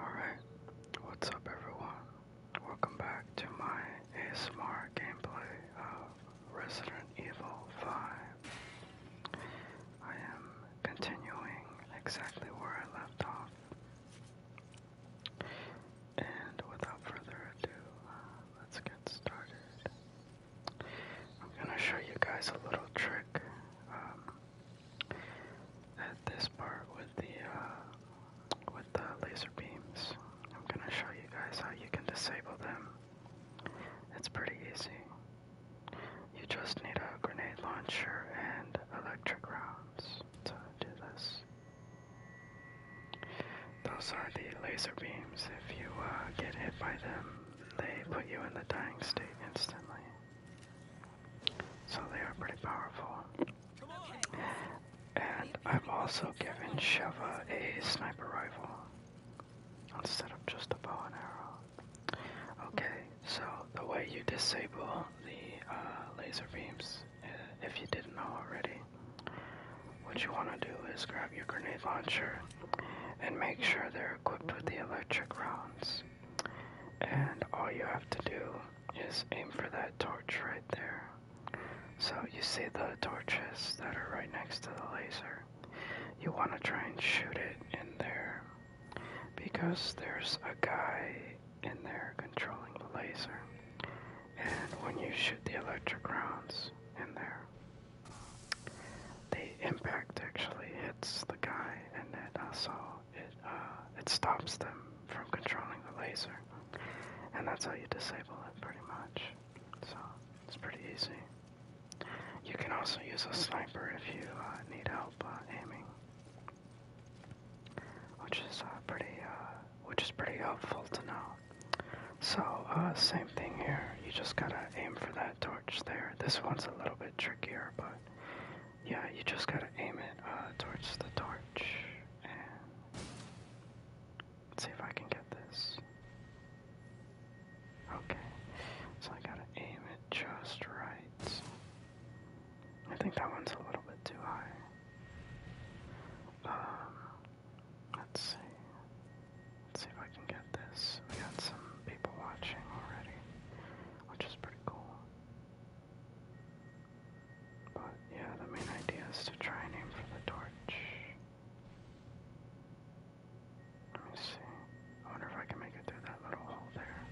Alright, what's up everyone? Welcome back to my ASMR gameplay of Resident Evil 5. I am continuing exactly where I left off. And without further ado, uh, let's get started. I'm going to show you guys a little trick um, at this part with the uh, with the laser beams. I'm going to show you guys how you can disable them. It's pretty easy. You just need a grenade launcher and electric rounds to do this. Those are the laser beams. If you uh, get hit by them, they put you in the dying state instantly. So they are pretty powerful. And I've also given Sheva a sniper rifle instead of just a bow and arrow. Okay, so the way you disable the uh, laser beams if you didn't know already. What you want to do is grab your grenade launcher and make sure they're equipped with the electric rounds. And all you have to do is aim for that torch right there. So you see the torches that are right next to the laser. You want to try and shoot it in there because there's a guy in there controlling the laser and when you shoot the electric rounds in there, the impact actually hits the guy, and it also uh, it uh, it stops them from controlling the laser, and that's how you disable it pretty much. So it's pretty easy. You can also use a sniper if you uh, need help aiming, which is pretty uh, which is pretty helpful to know. So, uh, same thing here. You just gotta aim for that torch there. This one's a little bit trickier, but yeah, you just gotta aim it uh, towards the torch. And let's see if I can get this. Okay, so I gotta aim it just right. I think that one's a little bit too high. Um, Let's see. Let's see if I can get this. We got some people watching already, which is pretty cool. But yeah, the main idea is to try and aim for the torch. Let me see. I wonder if I can make it through that little hole there.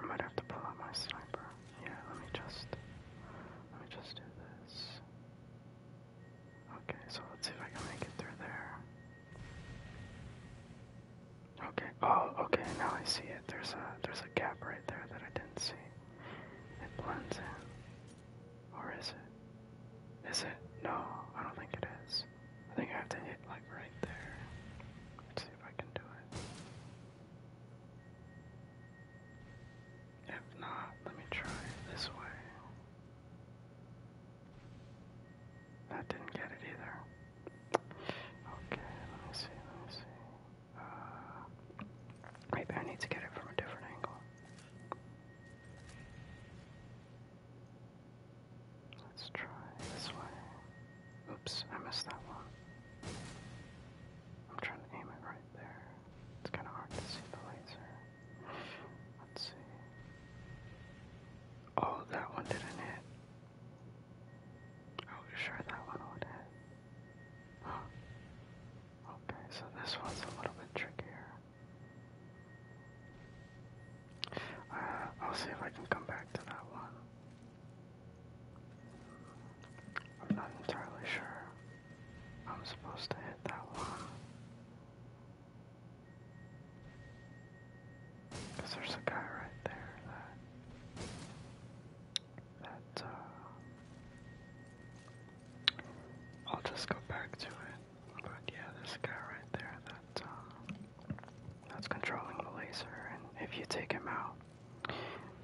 I might have to pull out my sniper. Yeah, let me just let me just do this. Okay, so let's see if I can make it through there. Okay. Oh, okay. Now I see it. There's a there's a gap right there that I didn't see. It blends in. Or is it? Is it? No, I don't think it is. I think I have to hit like right there. Let's see if I can do it. If not, let me try this way. That didn't get it either. Okay, let me see, let me see. Uh, maybe I need to get it from a different angle. Let's try this way. Oops, I missed that one. I'm trying to aim it right there. It's kind of hard to see the laser. Let's see. Oh, that one didn't hit. I oh, was sure that one would hit. Huh. Okay, so this one's a little bit trickier. Uh, I'll see if I can come back to that one. I'm not entirely sure I'm supposed to hit that one. there's a guy right there that, that, uh, I'll just go back to it. But yeah, there's a guy right there that, uh, that's controlling the laser, and if you take him out,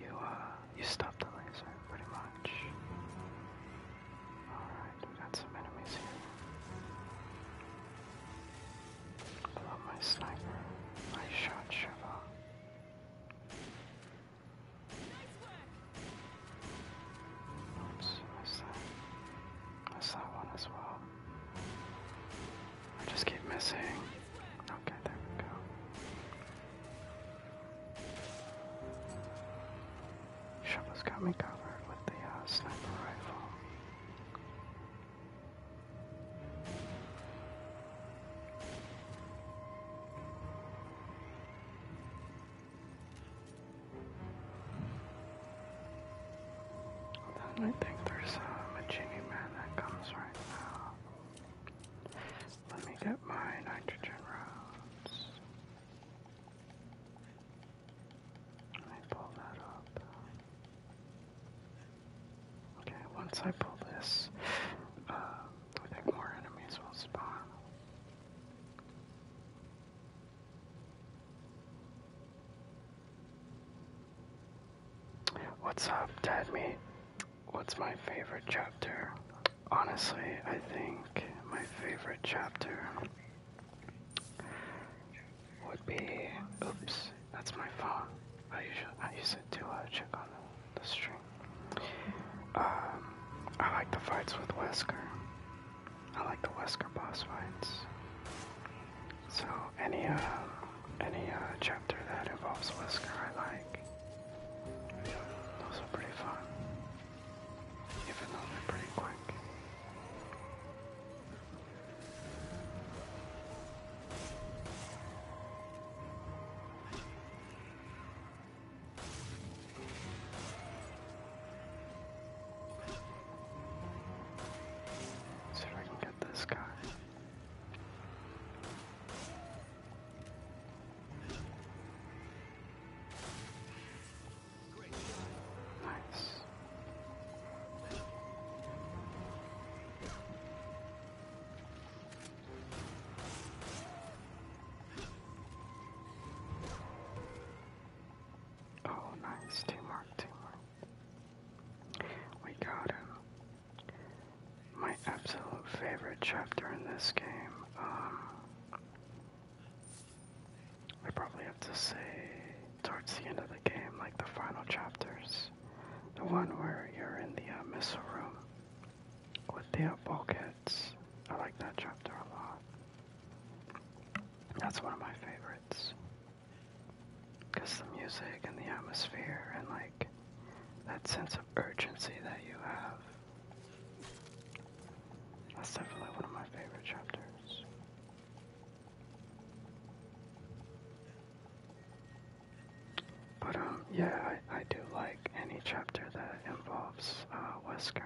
you uh, you stop the laser pretty much. All right, we got some enemies here. I love my sniper. I shot Shiva. Oops, missed that. Missed that one as well. I just keep missing. Okay, there we go. Shovel's got me covered with the uh, sniper rifle. I think there's a genie man that comes right now. Let me get my nitrogen rods. Let me pull that up. Okay, once I pull this, uh, I think more enemies will spawn. What's up, Dad Me. What's my favorite chapter? Honestly, I think my favorite chapter would be. Oops, that's my phone. I usually I used it to uh, check on the, the stream. Um, I like the fights with Wesker. I like the Wesker boss fights. So any uh, any uh, chapter that involves Whisker, I like. Those are pretty fun, even though they're pretty quick. see if I can get this guy. Nice. Oh, nice. Teamwork, teamwork. We got him. Uh, my absolute favorite chapter in this game. I um, probably have to say towards the end of the game, like the final chapters, the one where you're in the uh, missile room with the uh, bulkheads. I like that chapter a lot. That's one of my favorites. Because the music and the atmosphere and like that sense of urgency that you have. That's definitely one of my favorite chapters. But um, yeah, I, I do like any chapter that involves uh, Wesker.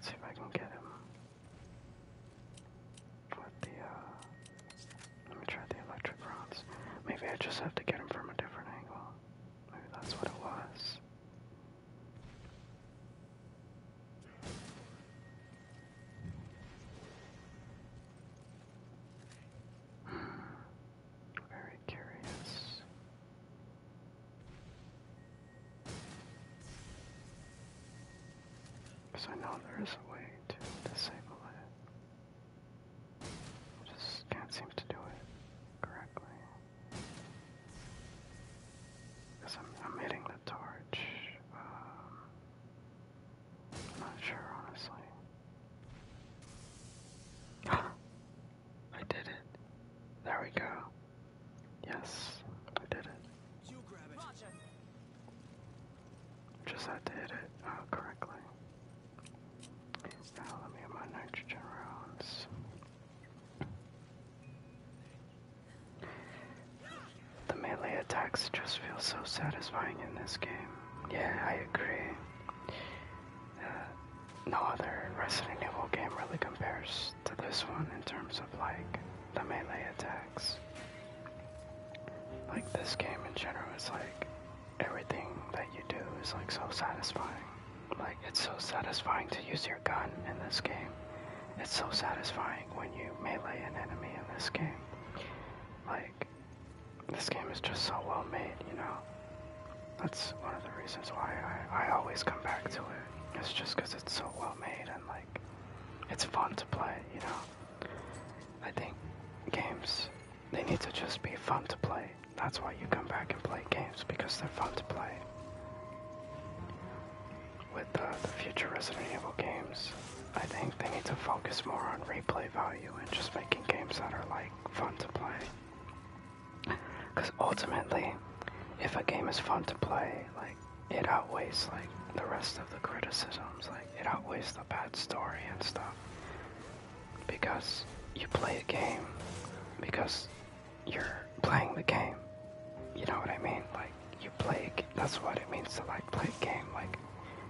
see if I can get him. With the, uh, let me try the electric rods. Maybe I just have to get them from a different angle. Maybe that's what it was. Hmm. Very curious. Because I know there is a way to disable it. just can't seem to do it correctly. Because I'm, hitting the torch. Um, I'm not sure, honestly. I did it. There we go. Yes, I did it. Just had to hit it uh, correctly. Now let me get my nitrogen rounds. The melee attacks just feel so satisfying in this game. Yeah, I agree. Uh, no other Resident Evil game really compares to this one in terms of like the melee attack. Like this game in general is like everything that you do is like so satisfying. Like it's so satisfying to use your gun in this game. It's so satisfying when you melee an enemy in this game. Like this game is just so well made, you know. That's one of the reasons why I, I always come back to it. It's just because it's so well made and like it's fun to play, you know. I think games they need to just be fun to play. That's why you come back and play games because they're fun to play. With uh, the future Resident Evil games, I think they need to focus more on replay value and just making games that are like fun to play. Because ultimately, if a game is fun to play, like it outweighs like the rest of the criticisms. Like it outweighs the bad story and stuff. Because you play a game because you're playing the game. You know what I mean? Like you play. a. That's what it means to like play a game. Like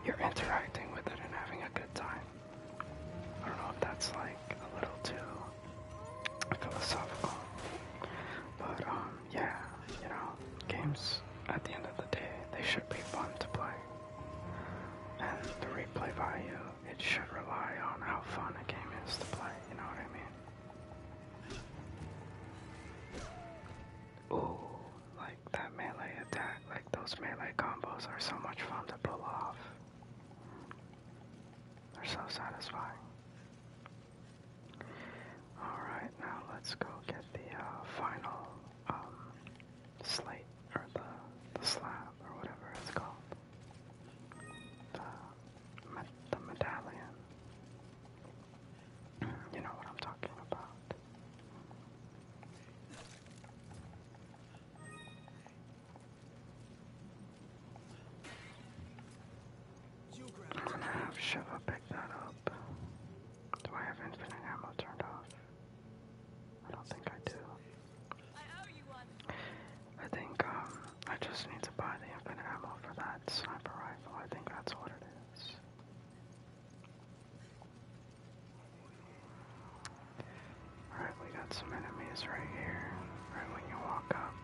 you're interacting with it and having a good time. I don't know if that's like a little too philosophical, but um, yeah, you know, games at the end of the day, they should be fun to play. And the replay value, it should rely on how fun a game is to play, you know what I mean? Ooh, like that melee attack, like those melee combos are so much fun to pull off. They're so satisfying. Alright, now let's go get the uh, final um, slate or the, the slab or whatever it's called, the, the medallion. You know what I'm talking about. I'm gonna have Shiva pick that up. Do I have infinite ammo turned off? I don't think I do. I think um I just need to buy the infinite ammo for that sniper rifle. I think that's what it is. Alright, we got some enemies right here. Right when you walk up.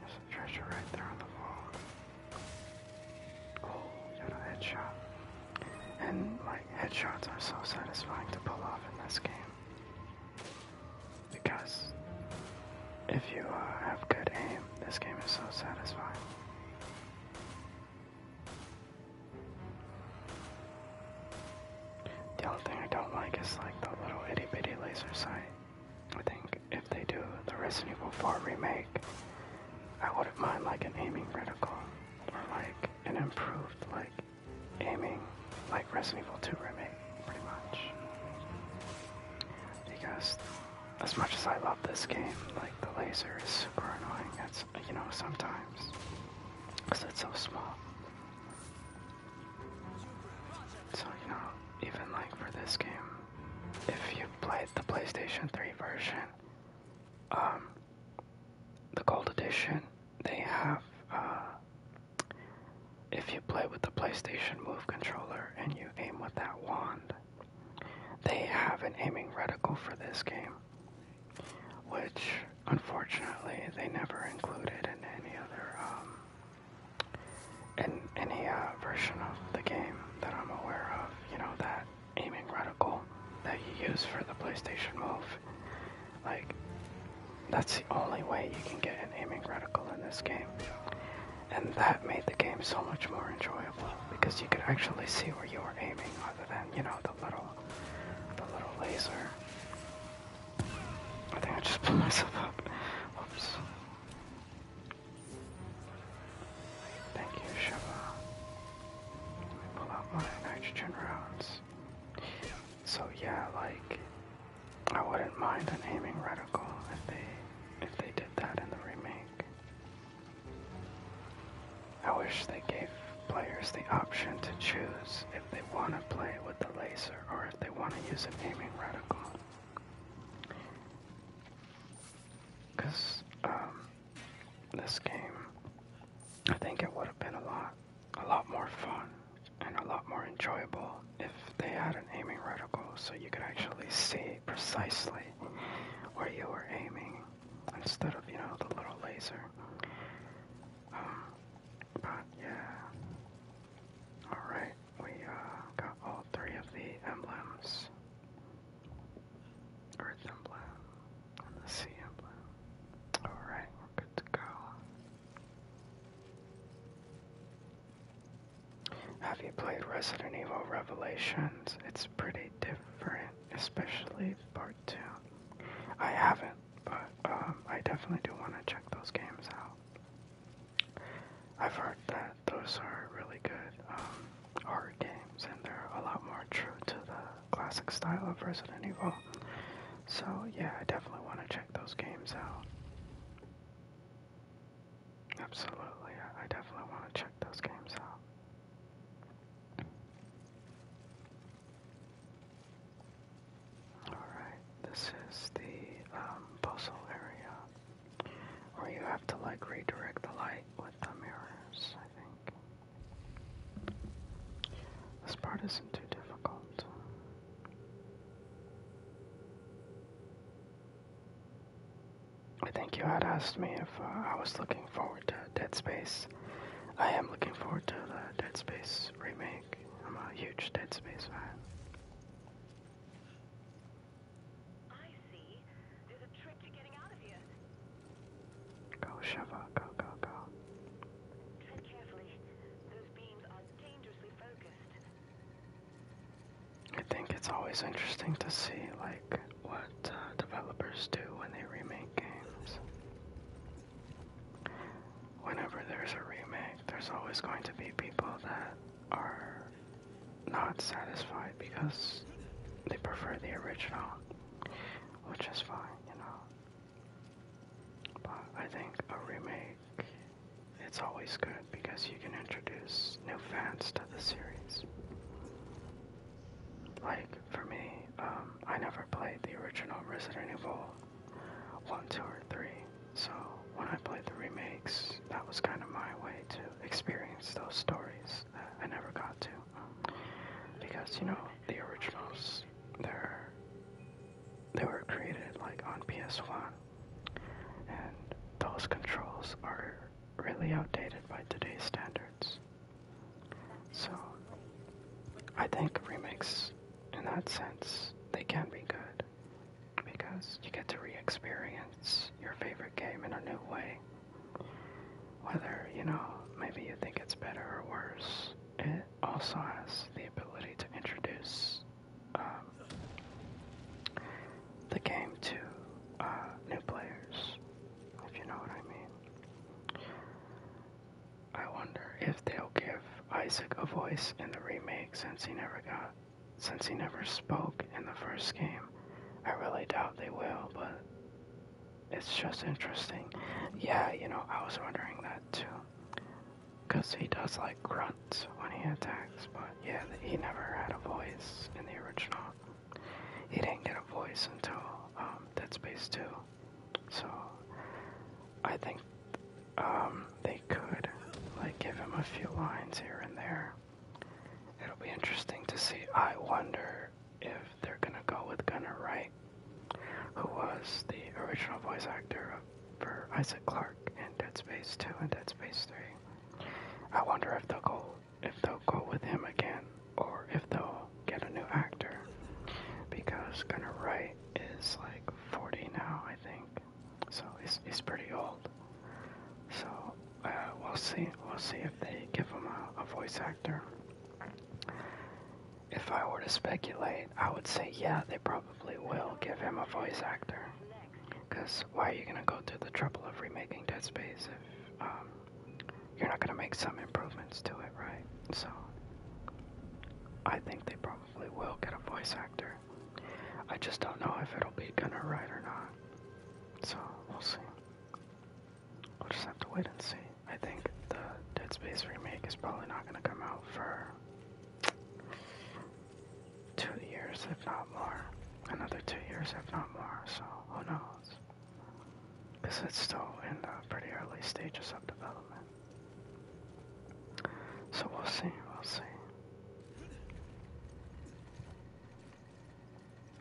There's a treasure right there on the wall. Oh, got a headshot. And, like, headshots are so satisfying to pull off in this game. Because if you uh, have good aim, this game is so satisfying. The only thing I don't like is like the little itty bitty laser sight. I think if they do the Resident Evil 4 remake, I wouldn't mind like an aiming reticle or like an improved like aiming like Resident Evil 2 remake, pretty much. Because as much as I love this game, like the laser is super annoying. It's you know sometimes because it's so small. So, you know, even like for this game, if you played the PlayStation 3 version, um, the Gold Edition, they have, uh, if you play with the PlayStation Move controller and you aim with that wand, they have an aiming reticle for this game, which unfortunately they never included in any other um, in any uh, version of the game that I'm aware of, you know, that aiming reticle that you use for the PlayStation Move, like, that's the only way you can get an aiming reticle in this game. And that made the game so much more enjoyable because you could actually see where you were aiming other than, you know, the little the little laser. I think I just pulled myself up. Oops. Thank you, Shiva. Let me pull out my nitrogen rounds. So yeah, like I wouldn't mind a aiming reticle if they if they did that in the remake. I wish they gave players the option to choose if they want to play with the laser or if they want to use an aiming reticle. Because um, this game, I think it would have been a lot, a lot more fun and a lot more enjoyable if they had an aiming reticle, so you could actually see precisely where you were aiming instead of you know the little laser. Um, but yeah. All right we uh, got all three of the emblems Earth emblem and the Sea emblem. Alright, we're good to go. Have you played Resident Evil Revelations? It's pretty different, especially part 2. I haven't, but um, I definitely do want to check those games out. I've heard that those are really good hard um, games, and they're a lot more true to the classic style of Resident Evil. So yeah, I definitely want to check those games out. Absolutely, I definitely want to check those games out. Alright, this is the um, puzzle area where you have to like redirect the light with the mirrors, I think. This part isn't too difficult. I think you had asked me if uh, I was looking forward to Dead Space. I am looking forward to the Dead Space remake. I'm a huge Dead Space fan. There's a trick to getting out of here. Go, Shiva. Go, go, go. I think it's always interesting to see, like, what uh, developers do when they remake games whenever there's a remake, there's always going to be people that are not satisfied because they prefer the original, which is fine, you know. But I think a remake, it's always good because you can introduce new fans to the series. Like, for me, um, I never played the original Resident Evil 1, 2, or 3. So when I played the remakes, that was kind of my way to experience those stories that I never got to. Because, you know, the originals, they're, they were created like on PS1. And those controls are really outdated by today's standards. So, I think remakes, in that sense, they can be good because you get to re-experience your favorite game in a new way. Whether, you know, maybe you think it's better or worse, it also has the ability to introduce um, the game to uh, new players, if you know what I mean. I wonder if they'll give Isaac a voice in the remake since he never got since he never spoke in the first game. I really doubt they will, but it's just interesting. Yeah, you know, I was wondering that too. Because he does like grunts when he attacks, but yeah, he never had a voice in the original. He didn't get a voice until um, Dead Space 2. So I think um, they could, like, give him a few lines here and there. It'll be interesting to see. I wonder if they're gonna go with Gunnar Wright, who was the original voice actor for Isaac Clarke in Dead Space 2 and Dead Space 3. I wonder if they'll go if they'll go with him again, or if they'll get a new actor, because Gunnar Wright is like 40 now, I think so he's, he's pretty old. So uh, we'll see. We'll see if they give him a, voice actor. If I were to speculate, I would say yeah, they probably will give him a voice actor. Because why are you gonna go through the trouble of remaking Dead Space if um, you're not gonna make some improvements to it, right? So I think they probably probably will get a voice actor. I just don't know if it'll be Gunner Wright or not. So we'll see. We'll just have to wait and see. I think the Dead Space remake is probably not going to come out for two years, if not more. Another two years, if not more. So who knows? Because it's still in the pretty early stages of development. So we'll see, we'll see.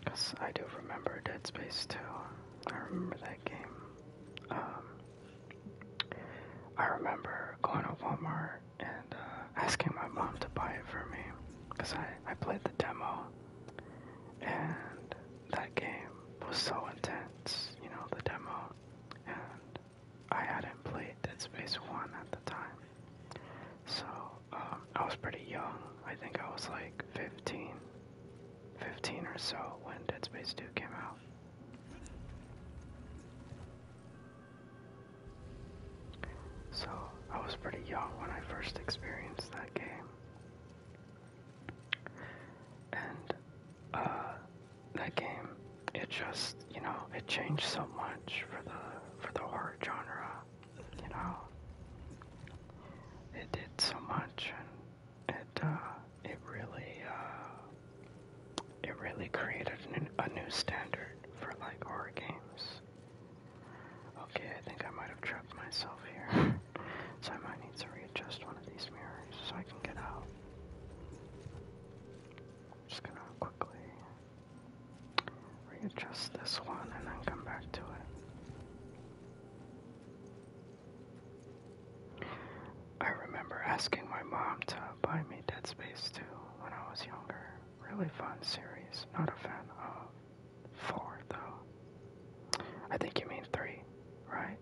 Cause I do remember Dead Space too. I remember that game. Um, I remember going to Walmart and uh, asking my mom to buy it for me. Cause I, I played the demo and that game was so intense, you know, the demo. And I hadn't played Dead Space 1 at the time. So, um, I was pretty young. I think I was like 15, 15 or so when Dead Space 2 came out. So, I was pretty young when I first experienced that game. And, uh, that game. It just, you know, it changed so much for the for the horror genre. You know, it did so much, and it uh, it really uh, it really created a new standard for like horror games. Okay, I think I might have trapped myself here. so I might need to readjust one of these mirrors so I can get out just gonna quickly readjust this one and then come back to it. I remember asking my mom to buy me Dead Space 2 when I was younger. Really fun series. Not a fan of 4 though. I think you mean 3, right?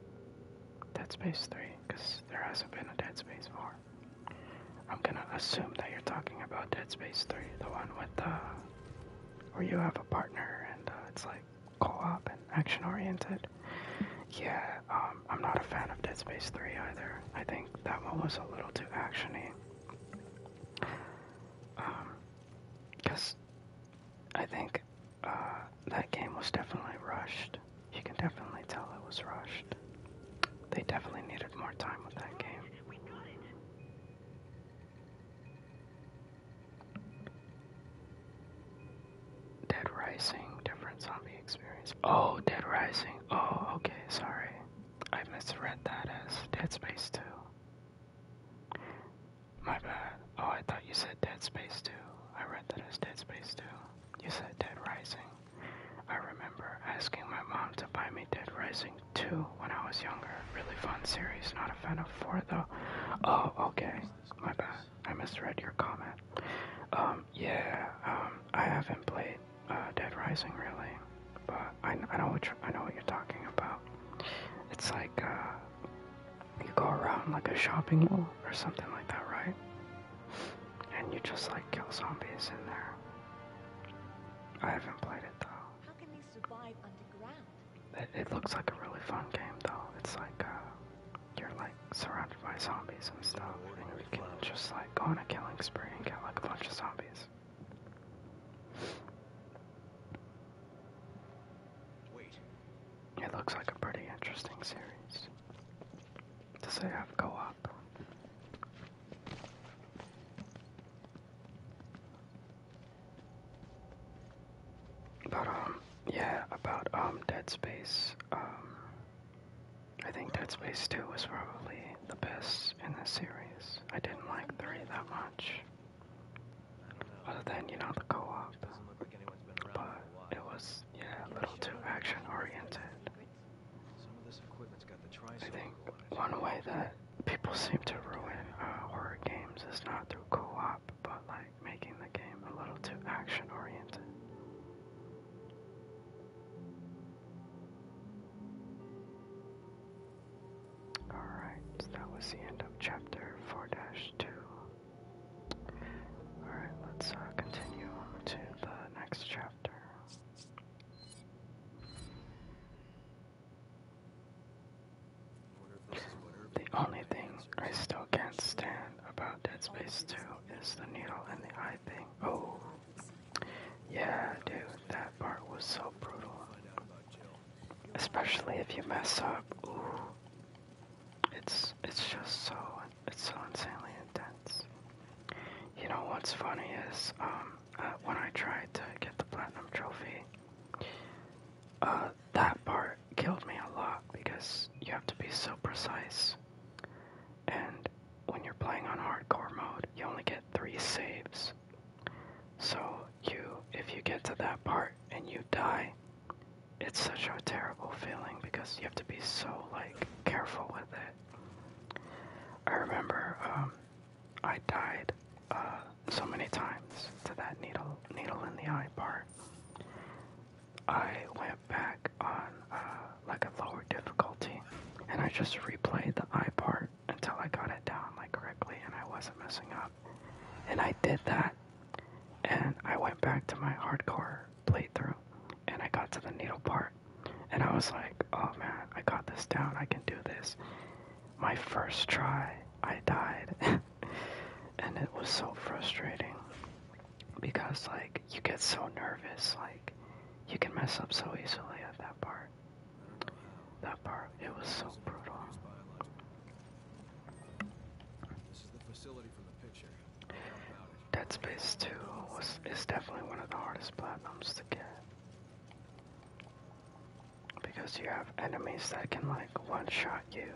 Dead Space 3, because there hasn't been a Dead Space 4. I'm gonna assume that you're talking about Dead Space 3, the one with the. Uh, where you have a partner and uh, it's like co op and action oriented. Yeah, um, I'm not a fan of Dead Space 3 either. I think that one was a little too actiony. Um, because I think uh, that game was definitely rushed. You can definitely tell it was rushed. They definitely needed more time with that game. Dead Rising, different zombie experience. Oh, Dead Rising. Oh, okay, sorry. I misread that as Dead Space 2. My bad. Oh, I thought you said Dead Space 2. I read that as Dead Space 2. You said Dead Rising. I remember asking my mom to buy me Dead Rising 2 when I was younger. Really fun series, not a fan of 4 though. Oh, okay. My bad. I misread your comment. Um, yeah, um, I haven't played uh, Dead Rising really, but I, know what I know what you're talking about. It's like uh, you go around like a shopping mall or something like that, right? And you just like kill zombies in there. I haven't played it though. How can they survive underground? It, it looks like a really fun game though. It's like uh, you're like surrounded by zombies and stuff, and you can just like go on a killing spree and kill like a bunch of zombies. Wait. It looks like a pretty interesting series. Does it have co-op? But um, yeah, about um, Dead Space. Um, I think Dead Space Two was probably the best in this series. I didn't like three that much. Other than you know the co-op, but it was yeah, a little too action oriented. I think one way that people seem to ruin uh, horror games is not through co-op, but like making the game a little too action oriented. Alright, so that was the end of chapter 4 2. Alright, let's uh, continue on to the next chapter. The only thing I still can't stand about Dead Space 2 is the needle and the eye thing. Oh, yeah, dude, that part was so brutal. Especially if you mess up. Ooh, it's it's just so it's so insanely intense. You know what's funny is um, uh, when I tried to get the platinum trophy, uh, that part killed me a lot because you have to be so precise. And when you're playing on hardcore mode, you only get three saves. So you, if you get to that part and you die, it's such a terrible feeling because you have to be so like careful with it. I remember um, I died uh, so many times to that needle needle in the eye part. I went back on uh, like a lower difficulty, and I just replayed the eye part until I got it down like correctly, and I wasn't messing up. And I did that, and I went back to my hardcore playthrough and I got to the needle part and I was like, oh man, I got this down, I can do this. My first try, I died. and it was so frustrating because, like, you get so nervous, like, you can mess up so easily at that part. That part, it was so brutal. Dead Space 2 was is definitely one of the hardest platinums to get. Because you have enemies that can like one shot you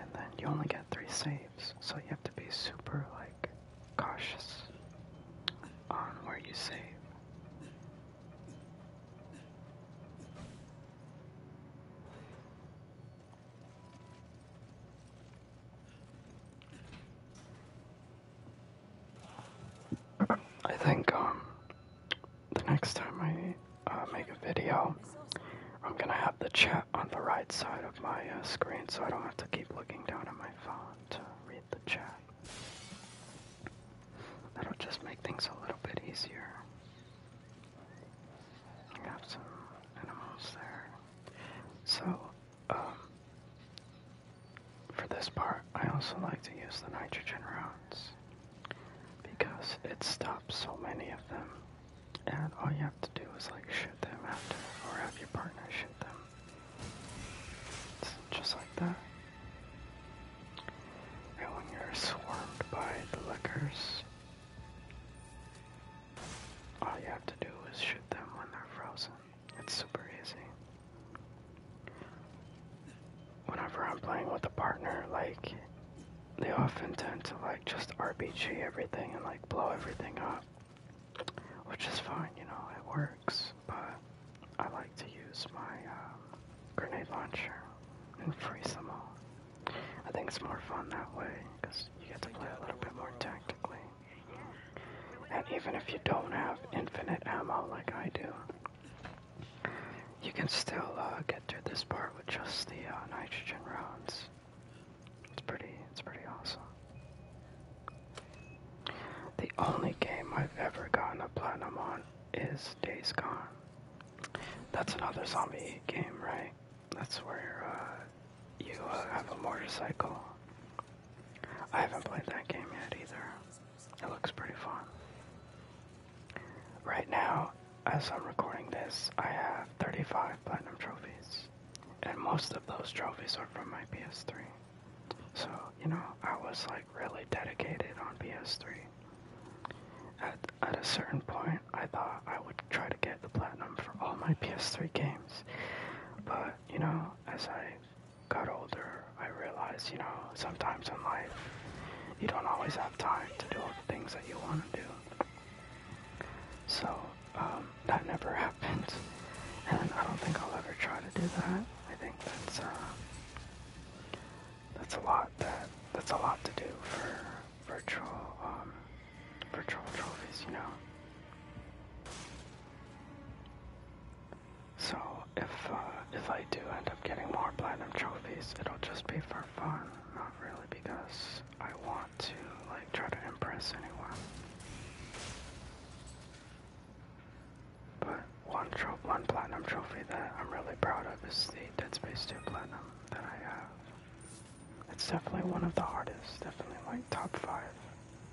and then you only get three saves. So you have to be super like cautious on where you save. I think um, the next time I uh, make a video, I'm gonna have the chat on the right side of my uh, screen, so I don't have to keep looking down at my phone to read the chat. That'll just make things a little bit easier. I have some animals there. So, um, for this part, I also like to use the nitrogen rounds because it stops so many of them, and all you have to do is like shoot them after, or have your partner shoot them. just like that. And when you're swarmed by the liquors, all you have to do is shoot them when they're frozen. It's super easy. Whenever I'm playing with a partner, like, they often tend to, like, just RPG everything and, like, blow everything up. Which is fine, you know, it works, but I like to use my um, grenade launcher and freeze them all. I think it's more fun that way, you get to play a little bit more tactically. And even if you don't have infinite ammo like I do, you can still uh, get through this part with just the uh, nitrogen rounds. It's pretty, it's pretty awesome. The only game I've ever gotten a platinum on is Days Gone. That's another zombie game, right? That's where uh, you uh, have a motorcycle. I haven't played that game yet either. It looks pretty fun. Right now, as I'm recording this, I have 35 platinum trophies. And most of those trophies are from my PS3. So, you know, I was like really dedicated on PS3. At, at a certain point, I thought I would try to get the platinum for all my PS3 games times. But, you know, as I got older, I realized, you know, sometimes in life, you don't always have time to do all the things that you want to do. So, um, that never happened. And I don't think I'll ever try to do that. I think that's, uh, that's a lot that, that's a lot to do for virtual, um, for troll trophies, you know. So if uh, if I do end up getting more platinum trophies, it'll just be for fun, not really because I want to like try to impress anyone. But one trophy, one platinum trophy that I'm really proud of is the Dead Space 2 platinum that I have. It's definitely one of the hardest, definitely like top five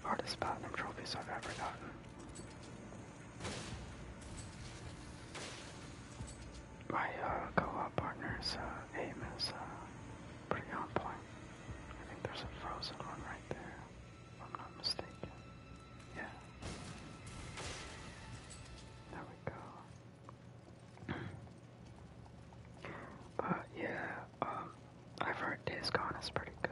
hardest platinum trophies I've ever gotten. My uh, co-op partner's uh, aim is uh, pretty on point. I think there's a frozen one right there, I'm not mistaken. Yeah. There we go. But yeah, um, I've heard Days Gone is pretty good.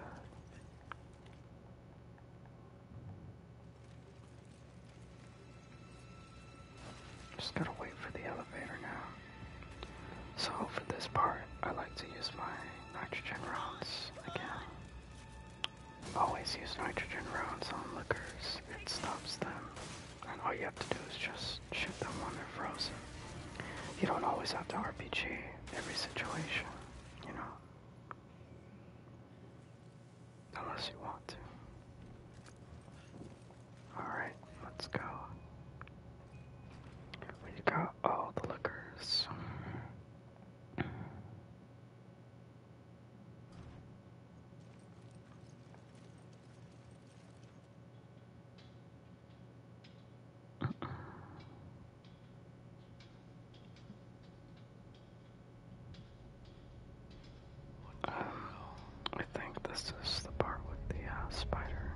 Just gotta wait for the elevator now. So for this part, I like to use my nitrogen rounds again. Always use nitrogen rounds on liquors. It stops them and all you have to do is just shoot them when they're frozen. You don't always have to RPG every situation, you know. Unless you want to. Alright, let's go. We got all the liquors. I think this is the part with the uh, spider.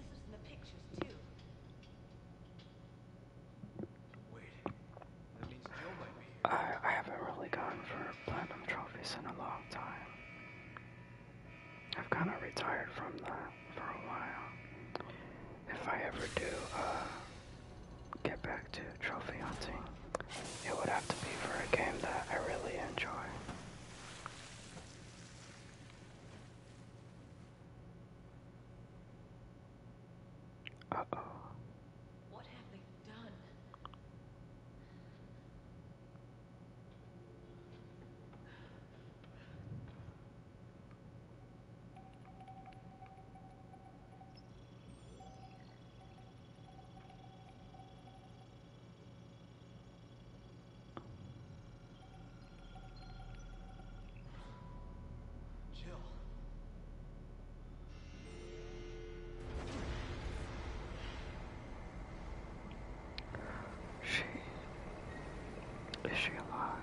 This is in the pictures too. I, I haven't really gone for platinum trophies in a long time. I've kind of retired from that for a while. If I ever do uh, get back to trophy hunting, it would have to be for a game that I really enjoy. Uh oh. What have they done? She is she alive?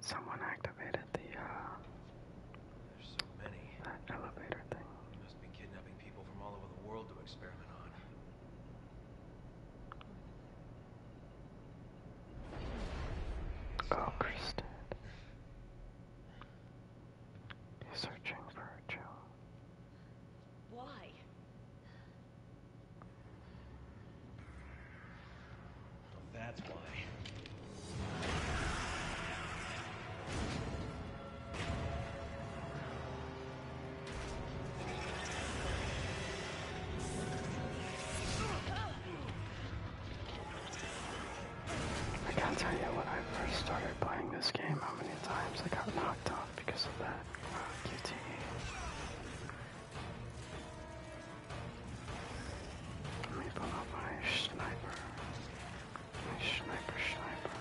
Someone activated the uh there's so many. That elevator thing. You must be kidnapping people from all over the world to experiment on. Oh, Kristen. He's searching for her, Joe. Why? that's why. I can't tell you when I first started playing this game how many times I got knocked off because of that Let me pull up my sniper. Sniper, sniper.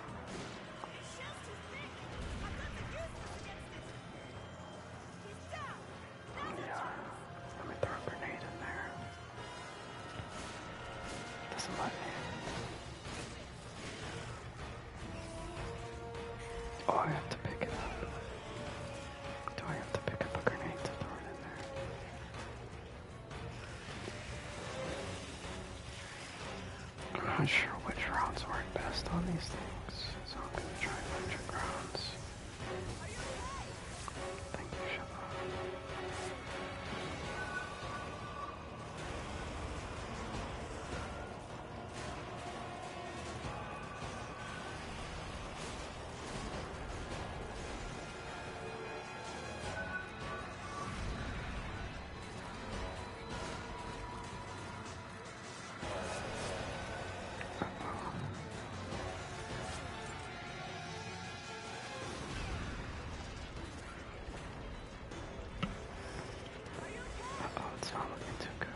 Yeah. Let me throw a grenade in there. Doesn't let Oh, I have to pick it up. Do I have to pick up a grenade to throw it in there? I'm not sure which rounds work best on these things, so I'm gonna try electric rounds. Thank you, oh it's not looking too good.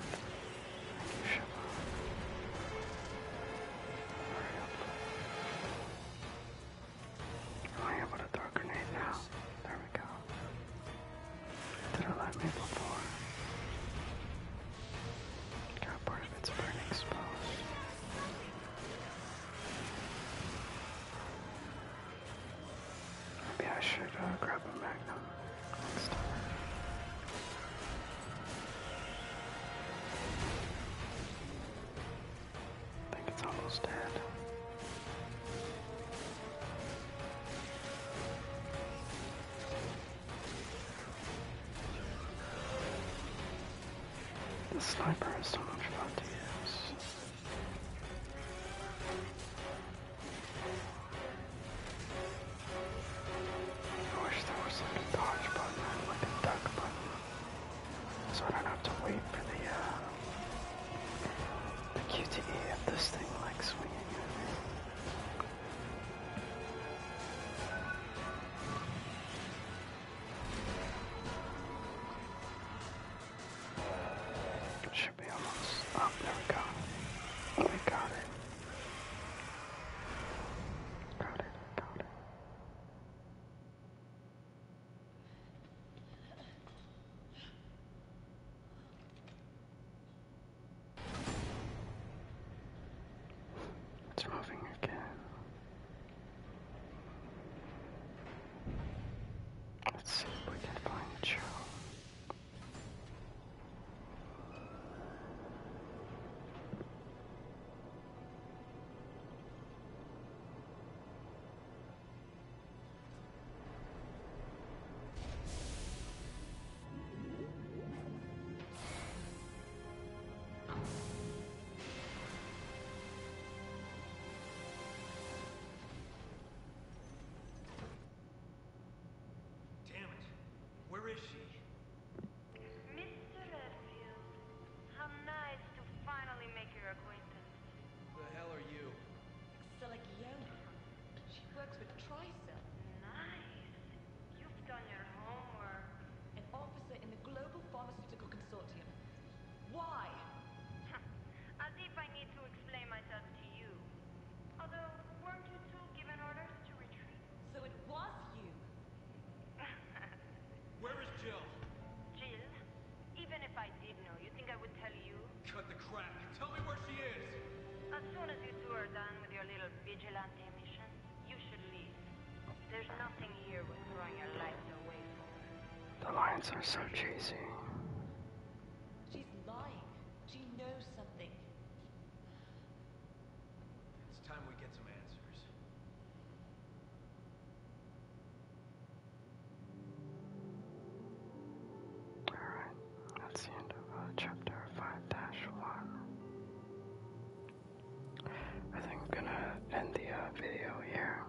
Thank you, Oh, am I able to throw a grenade now? There we go. Did it let me before? Got part of its burn exposed. Maybe I should uh, grab a magnum I think it's almost dead. The sniper has so much fun to use. I wish there was like dodge button like a duck button so I don't have to wait for the, uh, the QTE if this thing likes swinging should be almost up. there we go. We got it. Got it. Got it. It's moving again. Let's see if we can find Joe. Damn it. Where is she? Mr. Redfield, how nice to finally make your acquaintance. Who the hell are you? Exiligione. She works with Tricell. Nice. You've done your homework. An officer in the Global Pharmaceutical Consortium. Why? As if I need to explain myself to you. Although, weren't you two given orders to retreat? So it was you. Where is Jill? Jill? Even if I did know, you think I would tell you? Cut the crap. Tell me where she is. As soon as you two are done with your little vigilante mission, you should leave. There's nothing here worth throwing your life away for. The lines are so cheesy. She's lying. She knows something. It's time we get some answers. Alright, that's the end of uh, chapter 5-1. I think I'm gonna end the uh, video here.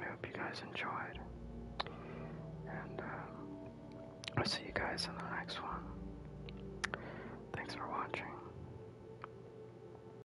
I hope you guys enjoyed. And um, I'll see you guys in the next one. Thanks for watching.